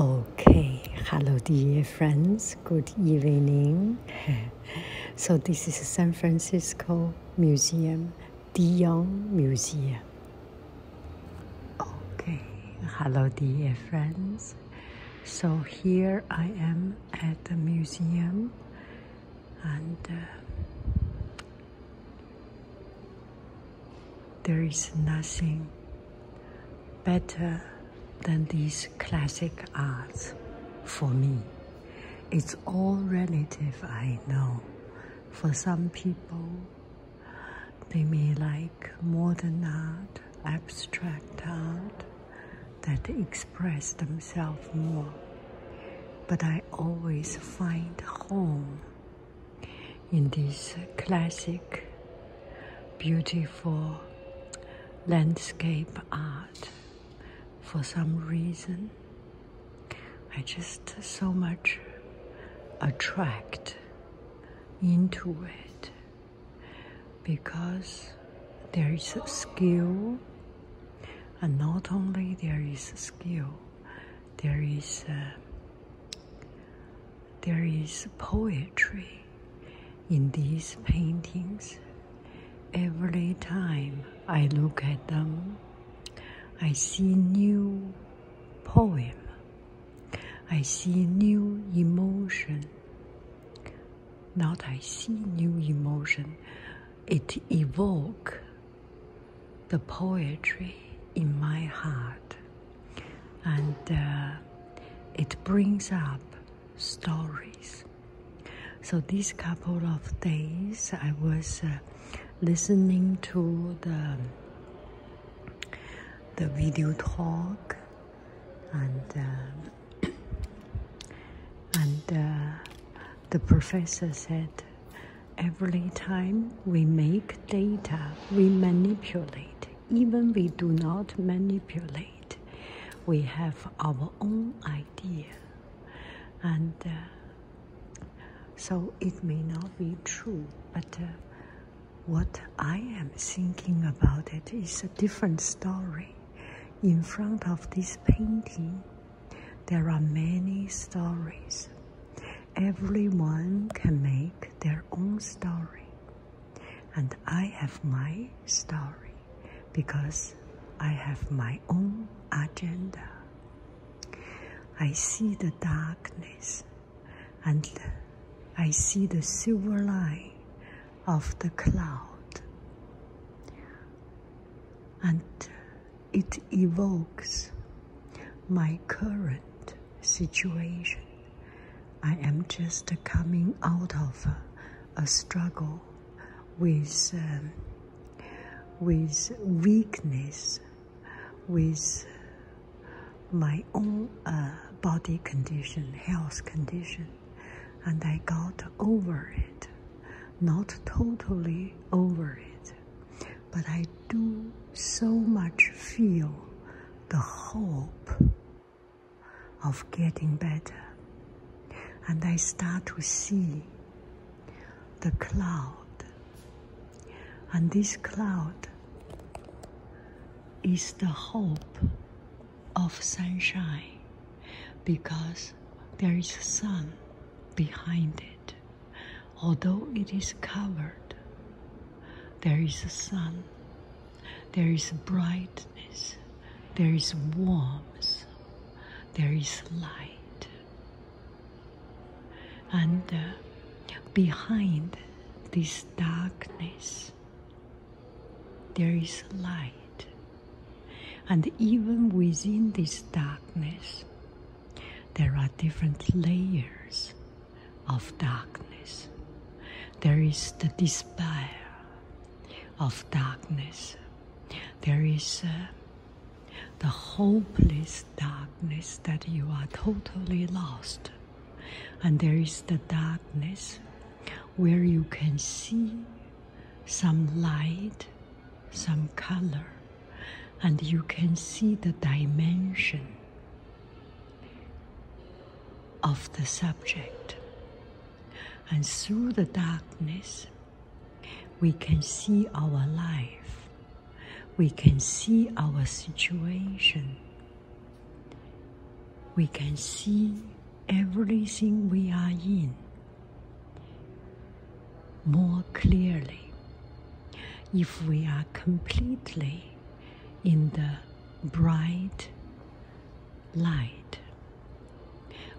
Okay, hello, dear friends. Good evening. so, this is San Francisco Museum, Dion Museum. Okay, hello, dear friends. So, here I am at the museum and uh, there is nothing better than these classic arts for me. It's all relative, I know. For some people, they may like modern art, abstract art that express themselves more. But I always find home in this classic, beautiful landscape art. For some reason, I just so much attract into it because there is skill and not only there is skill there is uh, there is poetry in these paintings. Every time I look at them, I see new poem. I see new emotion. Not I see new emotion. It evoke the poetry in my heart and uh, it brings up stories. So, these couple of days, I was uh, listening to the the video talk and uh, and the professor said Every time we make data, we manipulate. Even we do not manipulate, we have our own idea. And uh, so it may not be true, but uh, what I am thinking about it is a different story. In front of this painting, there are many stories. Everyone can make their own story, and I have my story because I have my own agenda. I see the darkness and I see the silver line of the cloud. And it evokes my current situation. I am just coming out of a, struggle with um, with weakness, with my own uh, body condition, health condition, and I got over it, not totally over it, but I do so much feel the hope of getting better. And I start to see the cloud. And this cloud is the hope of sunshine because there is sun behind it although it is covered, there is a sun, there is brightness, there is warmth, there is light. And uh, behind this darkness, there is light. And even within this darkness, there are different layers of darkness. There is the despair of darkness. There is uh, the hopeless darkness that you are totally lost. And there is the darkness where you can see some light, some color, and you can see the dimension of the subject. And through the darkness, we can see our life, we can see our situation, we can see everything we are in more clearly. If we are completely in the bright light,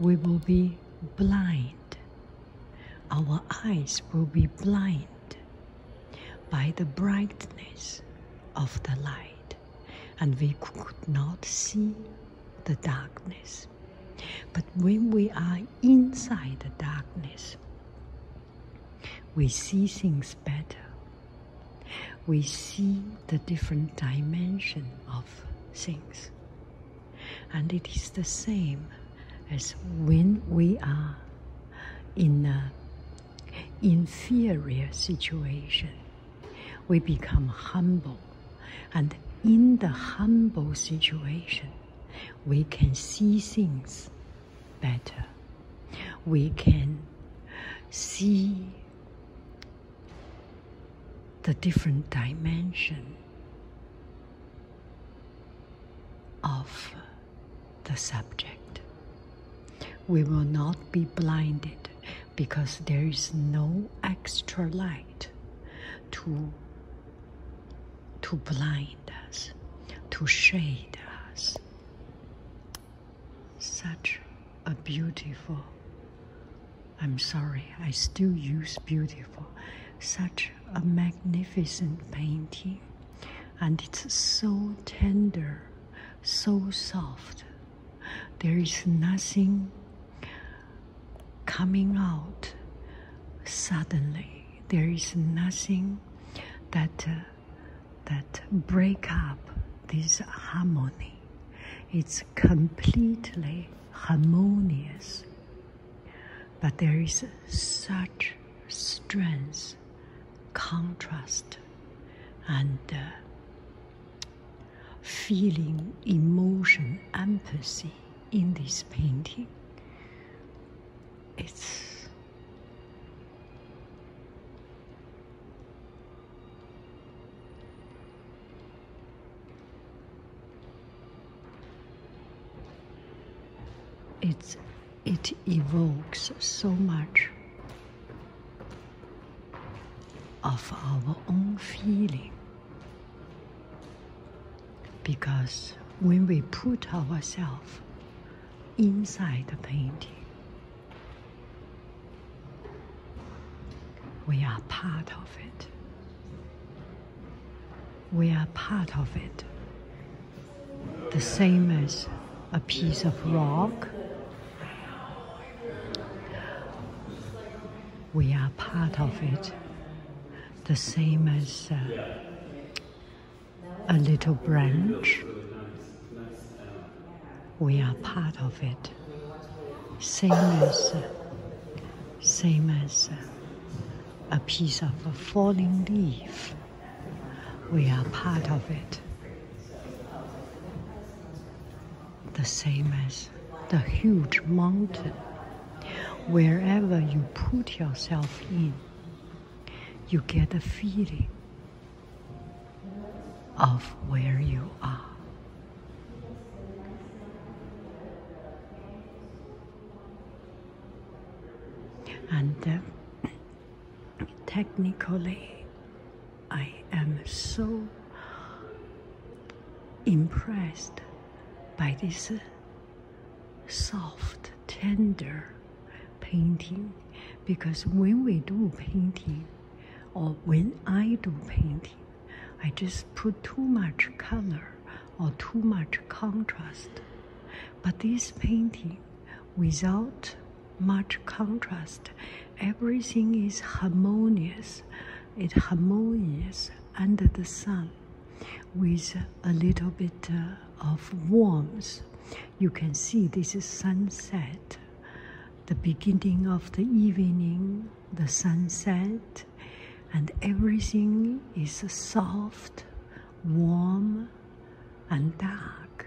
we will be blind. Our eyes will be blind by the brightness of the light, and we could not see the darkness. But when we are inside the darkness, we see things better. We see the different dimension of things. And it is the same as when we are in a inferior situation. We become humble, and in the humble situation, we can see things better. We can see the different dimension of the subject. We will not be blinded because there is no extra light to to blind us, to shade us. Such a beautiful, I'm sorry, I still use beautiful, such a magnificent painting. And it's so tender, so soft. There is nothing coming out suddenly. There is nothing that uh, that break up this harmony. It's completely harmonious. But there is such strength, contrast, and uh, feeling, emotion, empathy in this painting it's it evokes so much of our own feeling because when we put ourselves inside the painting, we are part of it. We are part of it. The same as a piece of rock we are part of it. The same as uh, a little branch, we are part of it. Same as, uh, same as uh, a piece of a falling leaf, we are part of it the same as the huge mountain. Wherever you put yourself in, you get a feeling of where you are. And uh, technically, I am so impressed by this soft, tender painting because when we do painting or when I do painting, I just put too much color or too much contrast. But this painting, without much contrast, everything is harmonious it harmonious under the sun with a little bit uh, of warmth. You can see this is sunset, the beginning of the evening, the sunset, and everything is soft, warm, and dark.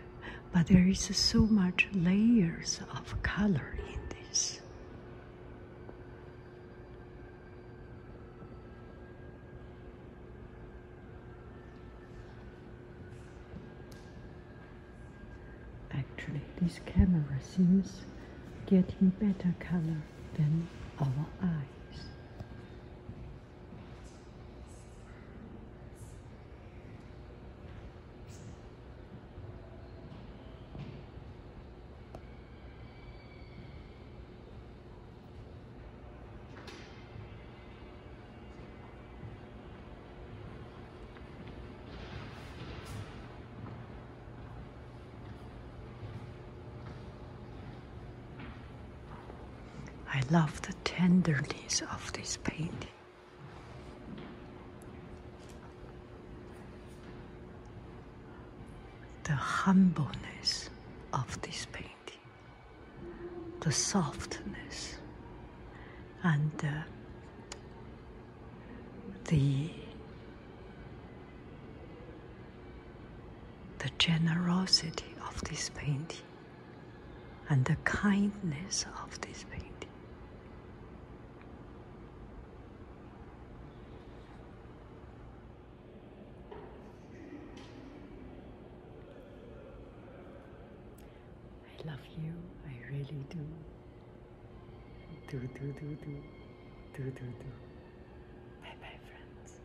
But there is so much layers of color in this. Actually, this camera seems getting better color than our eyes. I love the tenderness of this painting. The humbleness of this painting, the softness, and the the generosity of this painting and the kindness of this painting I love you, I really do. Do, do, do, do. Do, do, do. Bye bye, friends.